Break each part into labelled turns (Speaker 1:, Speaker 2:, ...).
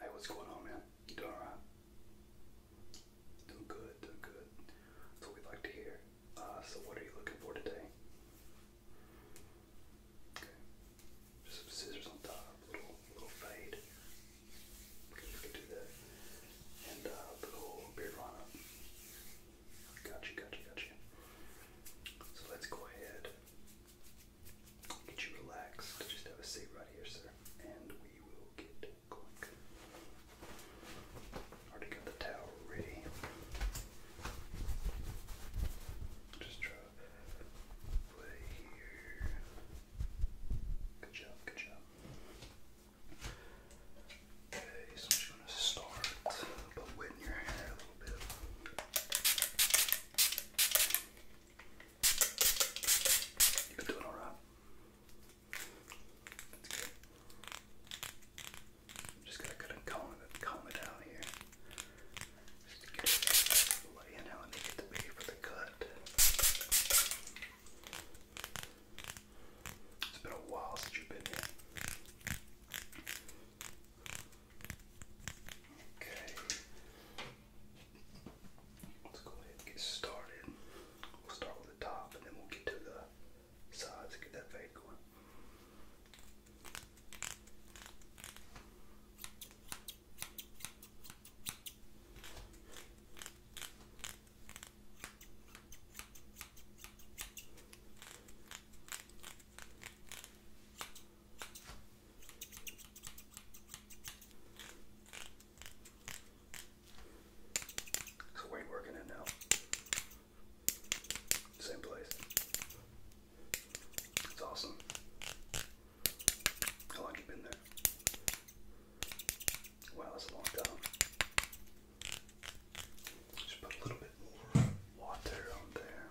Speaker 1: Hey, what's going on, man? You doing alright? Doing good, doing good. That's what we like to hear. Uh, so, what are you looking for today? Just some scissors on top, little, little fade. we can do that. And uh, a little beard on up. Gotcha, gotcha, gotcha. So, let's go ahead Get you relaxed. Just have a seat right here, sir, and we will get going. Already got the towel ready. Just try to play here. Good job, good job. Okay, so I'm gonna start by wetting your hair a little bit. You've been doing all right. That's good. just gonna kind of comb it, comb it down here. Just get it out the way and how I need it to be for the cut. It's been a while since you've been here. Okay. Let's go ahead and get started. We'll start with the top and then we'll get to the sides and get that fade going. So where you working at now? Same place. It's awesome. How long you been there? Wow, that's a long time. Just put a little bit more water on there.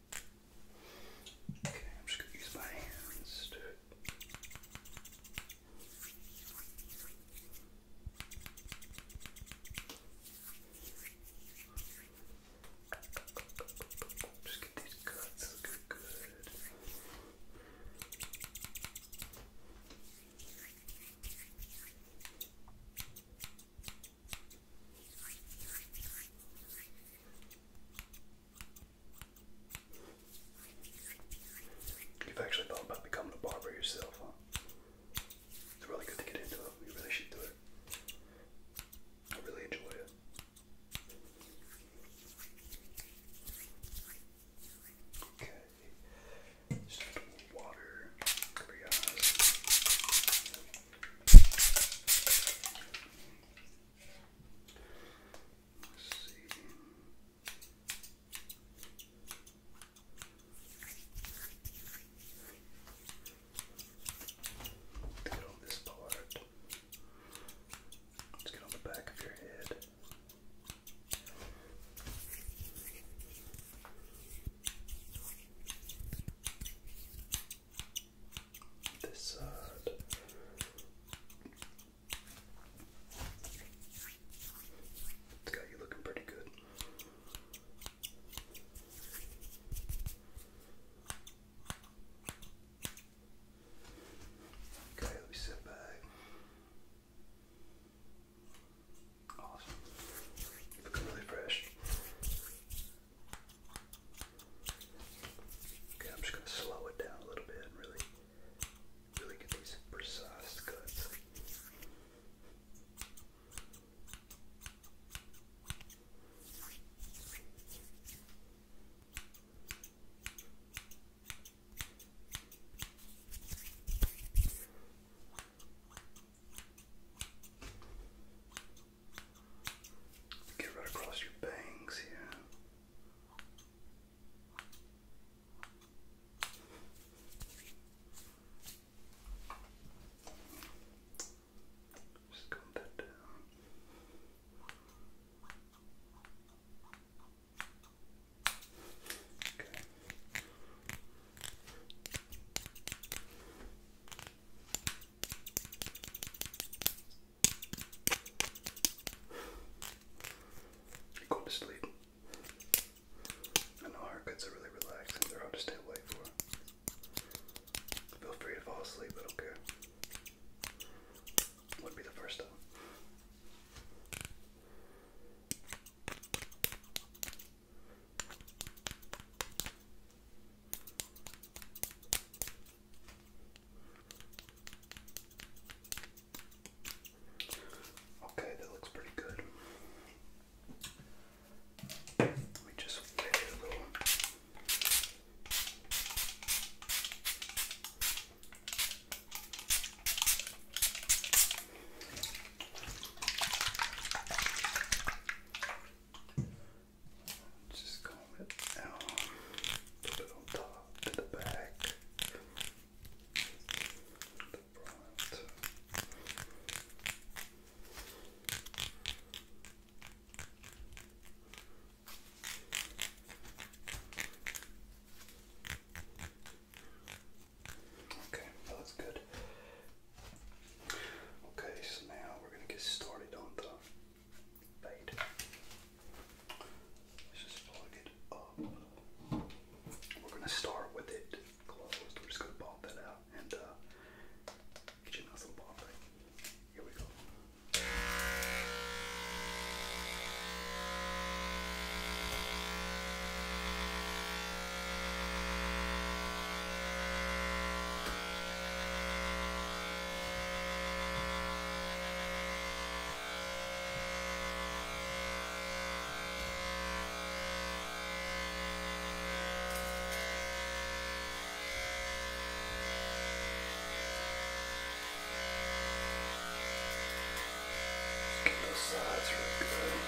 Speaker 1: Okay, I'm just going to use my hands to. Just get these cuts looking good. Okay, You've actually thought about becoming a barber yourself, huh? It's really good to get into it. You really should do it. I really enjoy it. Okay. Just a little water over your eyes. Let's see. Let's get on this part. Let's get on the back of your head this side. It's got you looking pretty good. Okay, let me sit back. Awesome. Looking really fresh. Okay, I'm just gonna slow it down a little bit and really, really get these precise cuts. Get right across your bangs here. Just comb that down. Okay. Go to sleep. I know haircuts are really relaxing, they're hard to stay awake for. Feel free to fall asleep, I don't care. Would be the first time. Okay, that looks pretty good. Let just flip a little. Just comb it out, put it on top, to the back, the front. Okay, that looks good. Okay, so now we're going to get started on the bait. Let's just plug it up. We're going to start with it closed. We're just going to pop that out and uh, get your nozzle popping. Here we go. Get those sides real good.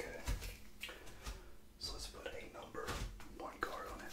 Speaker 1: Okay. So let's put a number one card on it.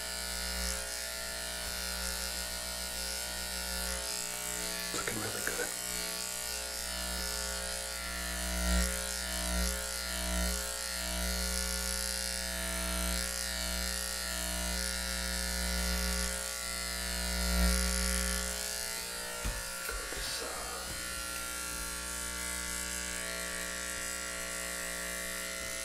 Speaker 1: It's looking really good. Go this uh,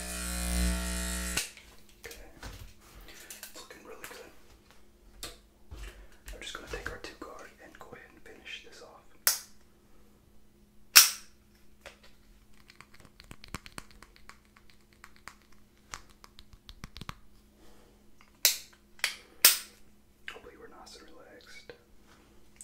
Speaker 1: Okay. It's looking really good. I'm just going to take our two card and go ahead and finish this off. Hopefully, we're nice and relaxed.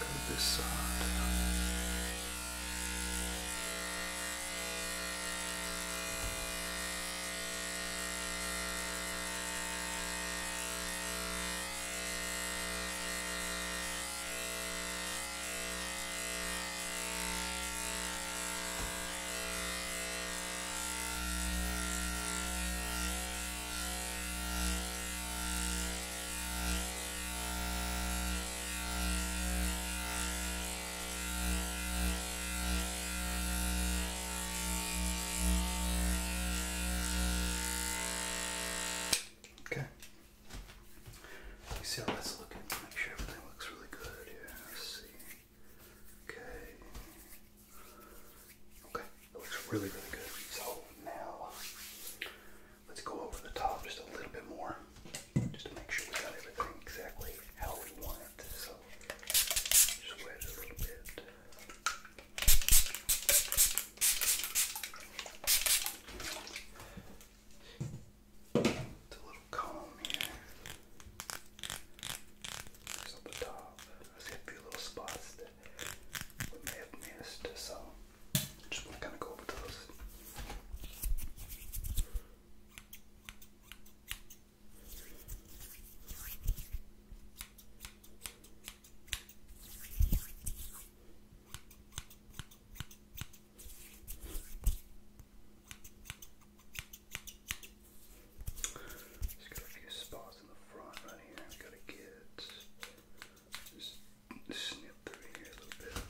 Speaker 1: Go this side. Okay. You see how that's looking? Make sure everything looks really good here. Let's see. Okay. Okay, it looks really, really good. So now let's go over the top just a little bit more, just to make sure we got everything exactly how we want it. So just wet it a little bit. a little comb here. Just the top. I see a few little spots there we may have missed, so just want to kind of go over those. Just got a few spots in the front right here. Gotta get just snip through here a little bit.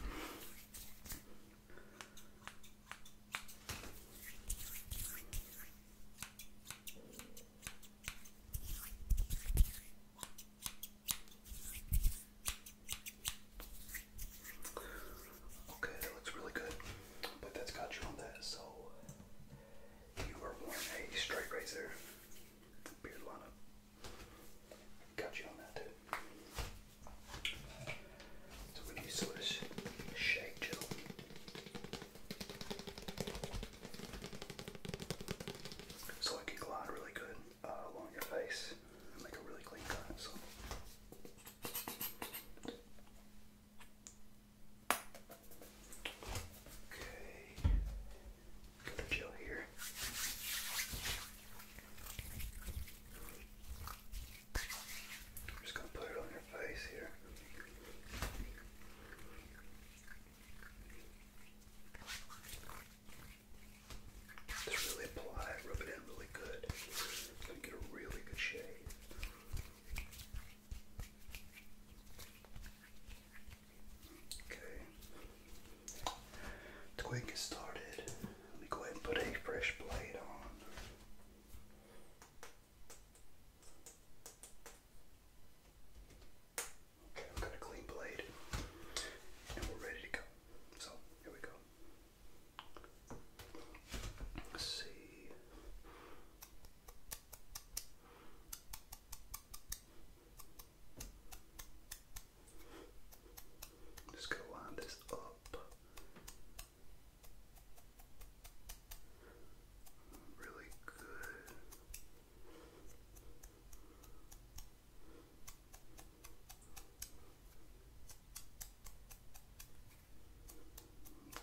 Speaker 1: Okay, that looks really good, but that's got you on that, so you are worn a straight razor. Got you on that too. So we need some of shake gel. So it can glide really good uh, along your face make a really clean cut. Okay. Gonna chill here. just gonna put it on your face here. Just really apply rub it in really good. It's get a really good shade. Okay. To get started, let me go ahead and put a fresh blade on. Okay, we've got a clean blade and we're ready to go. So, here we go. Let's see. Just gonna line this up. Really good.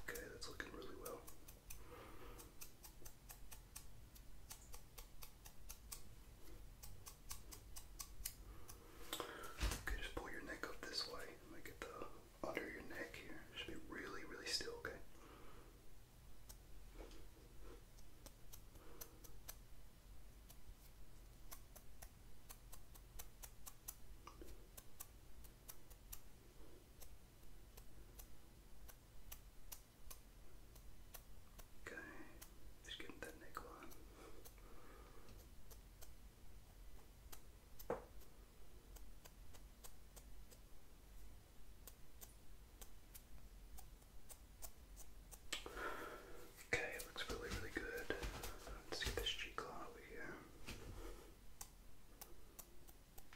Speaker 1: Okay, that's looking really well. Okay, just pull your neck up this way. Let me get the under your neck here. Should be really, really still, okay? Okay, just getting that neckline. Okay, it looks really, really good. Let's get this cheek line over here.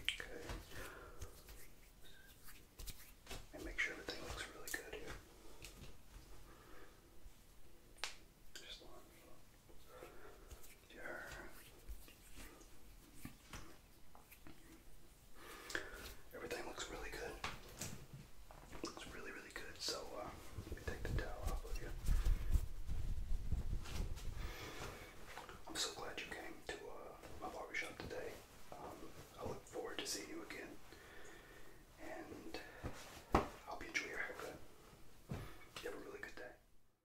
Speaker 1: Okay. And make sure everything looks really good here. Just your everything looks really good. Looks really, really good. So uh, let me take the towel off of you. I'm so glad you came to uh, my barbershop today. Um, I look forward to seeing you again, and I hope you enjoy your haircut. have a really good day.